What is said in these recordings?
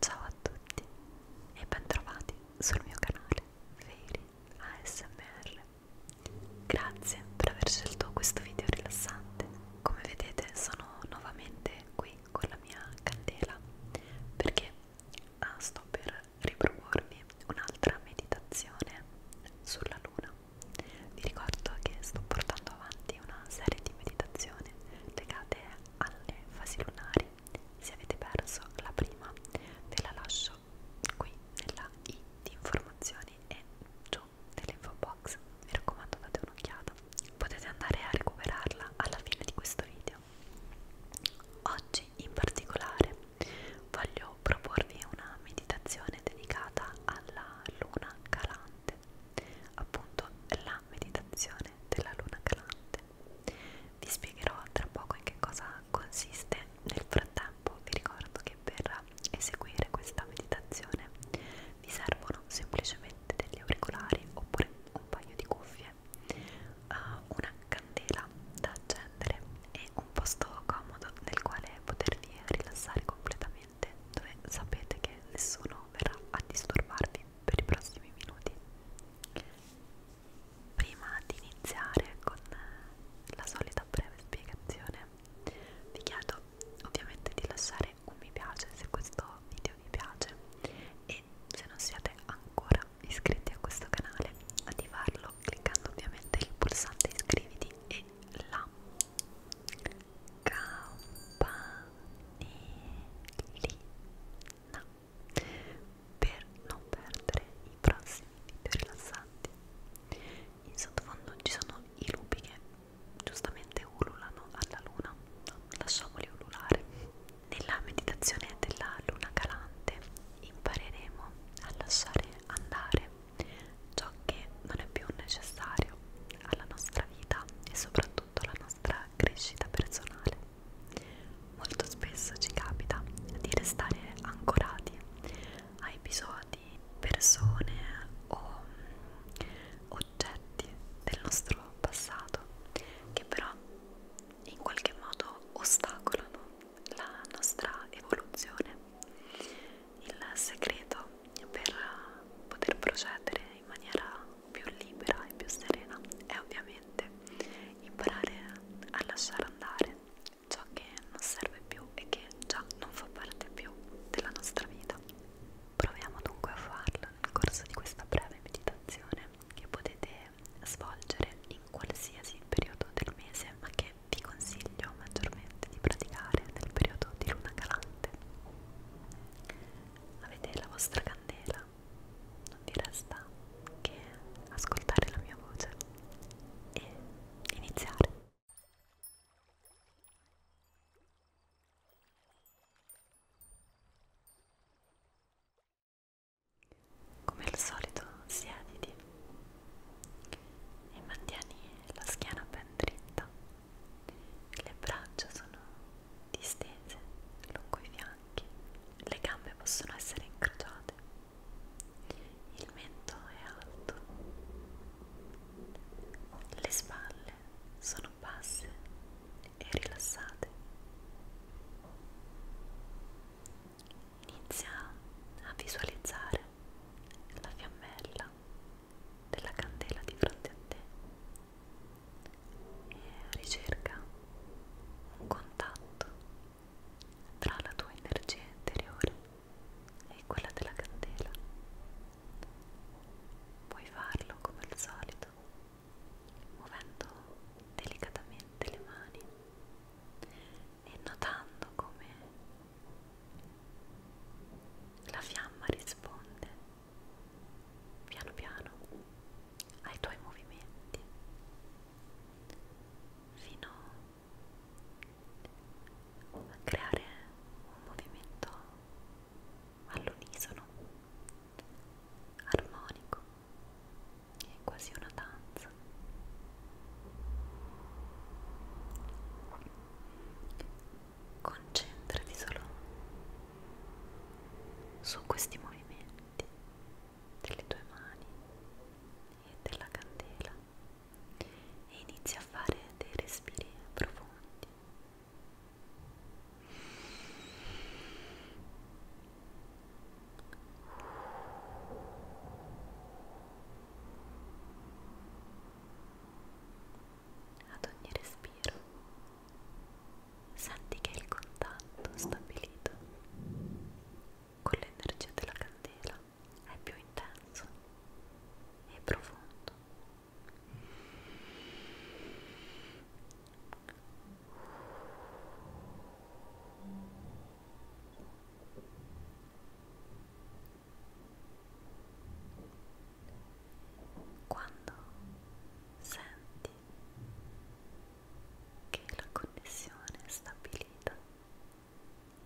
Ciao a tutti e bentrovati sul mio canale Fairy ASMR. Grazie per aver scelto questo video rilassante. Come vedete sono nuovamente qui con la mia candela perché ah, sto per riproporvi un'altra meditazione sulla luna. Vi ricordo che sto portando avanti una serie di meditazioni legate alle fasi lunari. Se avete perso la prima, ve la lascio qui nella i di informazioni e giù nell'info box. Mi raccomando, date un'occhiata. Potete andare a recuperarla alla fine di questo video. Oggi in particolare voglio proporvi una meditazione dedicata alla luna calante appunto la meditazione della luna calante. Vi spiegherò tra poco in che cosa consiste. Nel frattempo vi ricordo che per eseguire questa meditazione vi servono semplicemente degli auricolari oppure un paio di cuffie, eh, una candela da accendere e un posto comodo nel quale potervi rilassare completamente ambiente dove sapete che nessuno verrà a disturbarvi per i prossimi minuti. Prima di iniziare con la solita breve spiegazione, vi chiedo ovviamente di lasciare un mi piace se questo video vi piace e se non siete ancora iscritti a questo canale attivarlo cliccando ovviamente il pulsante iscriviti e la campanellina per non perdere i prossimi video rilassanti. In sottofondo ci sono i lupi che giustamente ululano alla luna, no, lasciamoli ululare. Nella meditazione della luna calante impareremo a lasciare andare ciò che non è più necessario alla nostra nostra vita e soprattutto la nostra crescita personale. Molto spesso ci capita di restare ancorati a episodi, persone o mm, oggetti del nostro passato che però in qualche modo ostacolano la nostra evoluzione il segreto per poter procedere in maniera più libera e più serena è ovviamente imparare a lasciare andare ciò che non serve più e che già non fa parte più della nostra vita. Proviamo dunque a farlo nel corso di questa breve meditazione che potete svolgere in qualsiasi periodo del mese, ma che vi consiglio maggiormente di praticare nel periodo di luna calante avete la vostra candela non vi resta che ascoltare la mia voce e iniziare come al solito siediti e mantieni la schiena ben dritta le braccia sono distese lungo i fianchi, le gambe possono essere incrociate, il mento è alto, le spalle sono basse e rilassate. Inizia a visualizzare la fiammella della candela di fronte a te e ricerca un contatto tra la tua energia interiore e quella della candela. Puoi farlo come al solito, muovendo delicatamente le mani e notando come la fiamma risponde piano piano ai tuoi movimenti fino a creare un movimento all'unisono, armonico, è quasi una danza concentrati solo su questi movimenti delle tue mani e della candela e inizia a fare dei respiri profondi ad ogni respiro senti che il contatto stabilito con l'energia della candela è più intenso e profondo quando senti che la connessione stabilita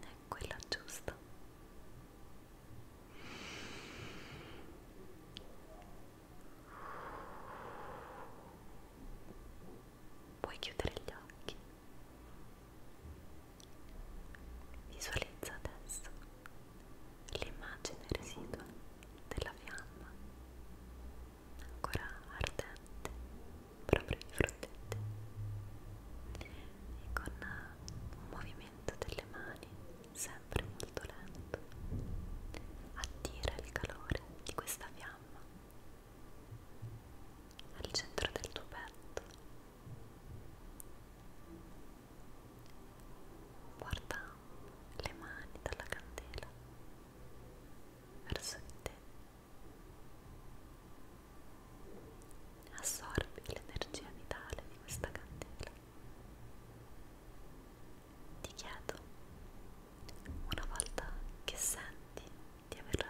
è quella giusta, puoi chiudere gli occhi. Visualizza adesso l'immagine residua della fiamma ancora ardente proprio di fronte a te e con un movimento delle mani sempre molto lento attira il calore di questa fiamma al centro del tuo petto Porta le mani dalla candela verso di te. Assorbi l'energia vitale di questa candela. Ti chiedo, una volta che senti di aver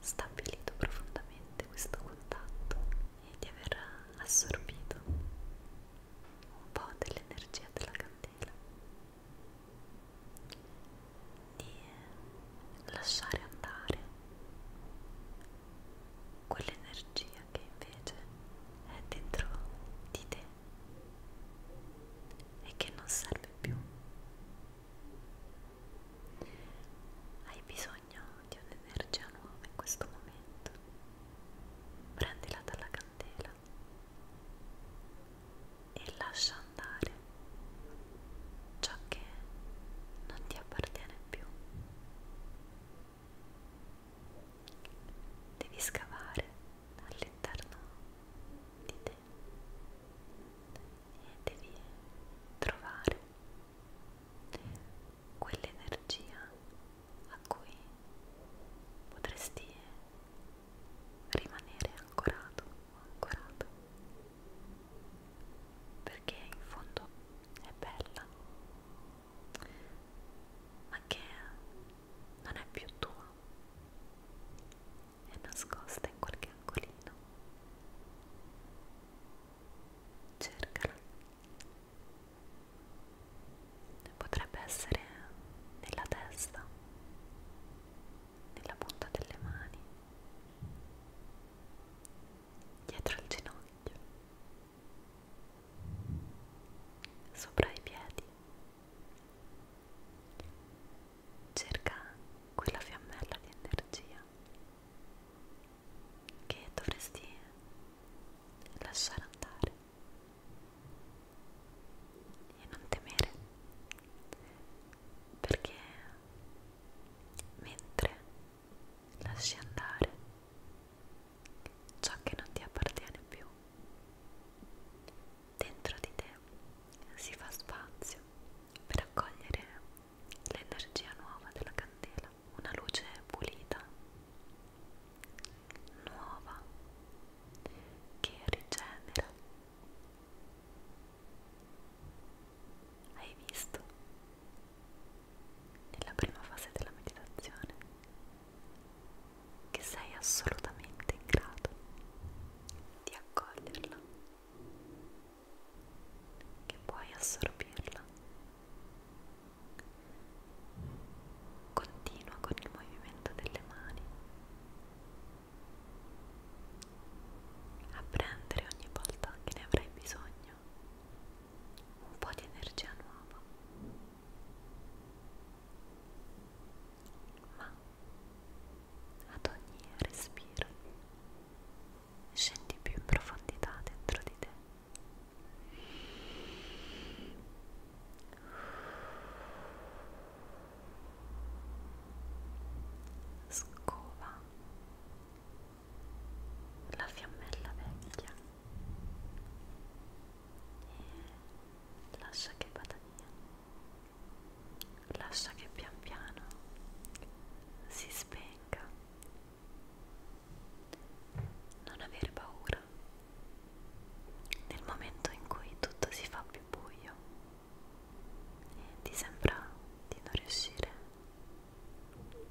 stabilito profondamente questo contatto e di aver assorbito un po' dell'energia della candela, di lasciare andare quell'energia che invece è dentro di te e che non serve più hai bisogno di un'energia nuova in questo momento. Prendila dalla candela e lascia andare ciò che non ti appartiene più. Devi scavare all'interno di te devi trovare quell'energia a cui potresti rimanere ancorato o ancorato perché in fondo è bella ma che non è più tua è nascosta in qualche angolino. Cercala. Potrebbe essere nella testa, nella punta delle mani, dietro il ginocchio, sopra i piedi cerca quella fiammella di energia che dovresti lasciare andare e non temere perché mentre lasci andare ciò che non ti appartiene più dentro di te si fa spazio per accogliere l'energia nuova della candela, una luce pulita, nuova, che rigenera. Hai visto? Nella prima fase della meditazione che sei assolutamente in grado di accoglierla che puoi assorbirla. Continua con il movimento delle mani a prendere ogni volta che ne avrai bisogno un po' di energia nuova. Ma ad ogni respiro scendi più in profondità dentro di te scova la fiammella vecchia e lascia che vada via lascia che pian piano si spenga. Non avere paura. Nel momento in cui tutto si fa più buio e ti sembra di non riuscire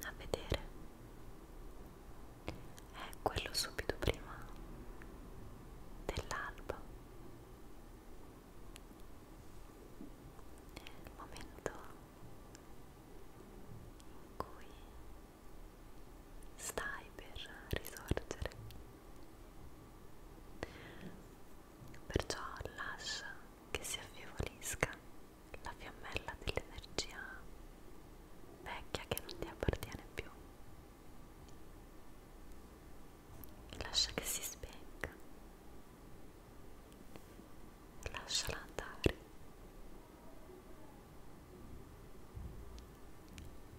a vedere, è quello subito prima dell'alba il momento in cui stai per risorgere perciò lascia che si affievolisca la fiammella dell'energia vecchia che non ti appartiene più lascia che si spenga, lasciala andare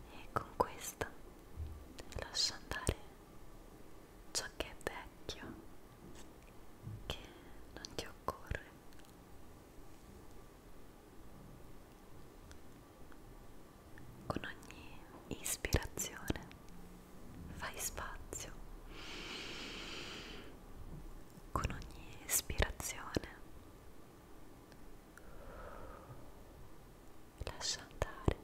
e con questa lascia andare ciò che è vecchio, che non ti occorre con ogni ispirazione fai spazio, con ogni ispirazione lascia andare.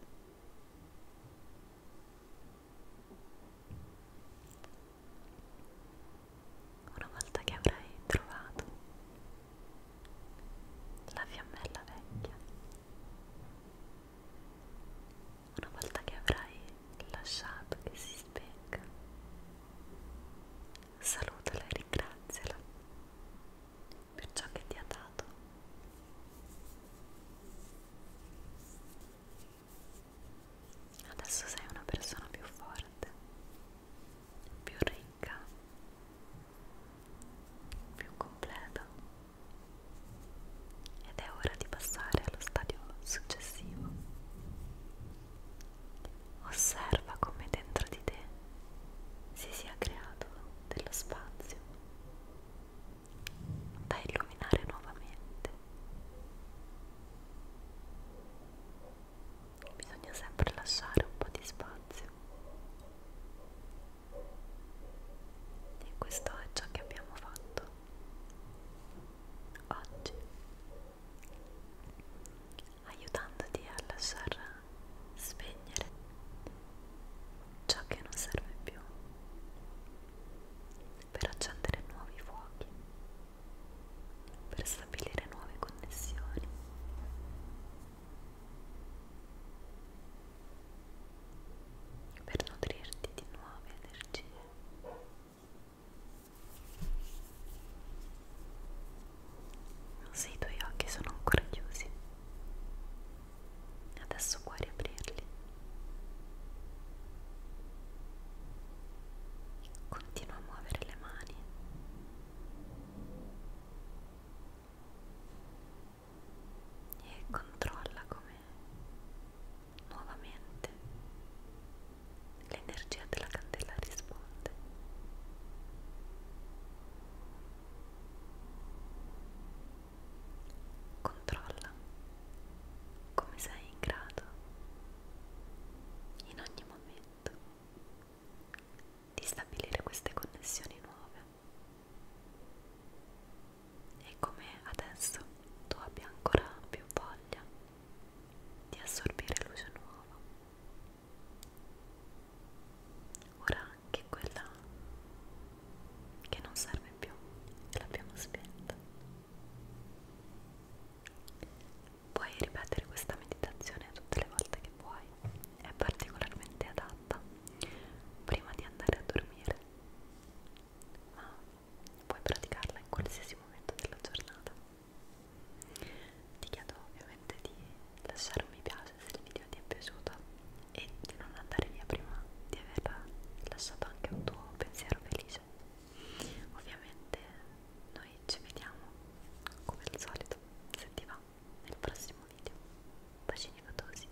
Una volta che avrai trovato la fiammella vecchia una volta che avrai lasciato che si spenga, salutala e ringraziala per ciò che ti ha dato. Adesso sei una persona più forte, più ricca, più completa ed è ora di passare allo stadio successivo osserva come dentro di te si sia creato dello spazio da illuminare nuovamente bisogna sempre lasciare un po' di spazio e questo è ciò che abbiamo fatto oggi aiutandoti a lasciar spegnere ciò che non serve più per accendere nuovi fuochi per stabilire nuove connessioni per nutrirti di nuove energie. Se i tuoi occhi sono ancora chiusi, adesso puoi riaprirli. Continua a muovere le mani e controlla come nuovamente l'energia della candela risponde controlla come sei in grado in ogni momento di stabilire queste connessioni nuove. E come adesso tu abbia ancora più voglia di assorbire luce nuova. Ora anche quella che non serve più, che l'abbiamo spenta. Puoi ripetere questa meditazione tutte le volte che vuoi è particolarmente adatta prima di andare a dormire, ma puoi praticarla in qualsiasi momento della giornata. Ti chiedo ovviamente di lasciare un mi piace se il video ti è piaciuto e di non andare via prima di aver lasciato anche un tuo pensiero felice. Ovviamente noi ci vediamo come al solito se ti va nel prossimo video bacini fotosi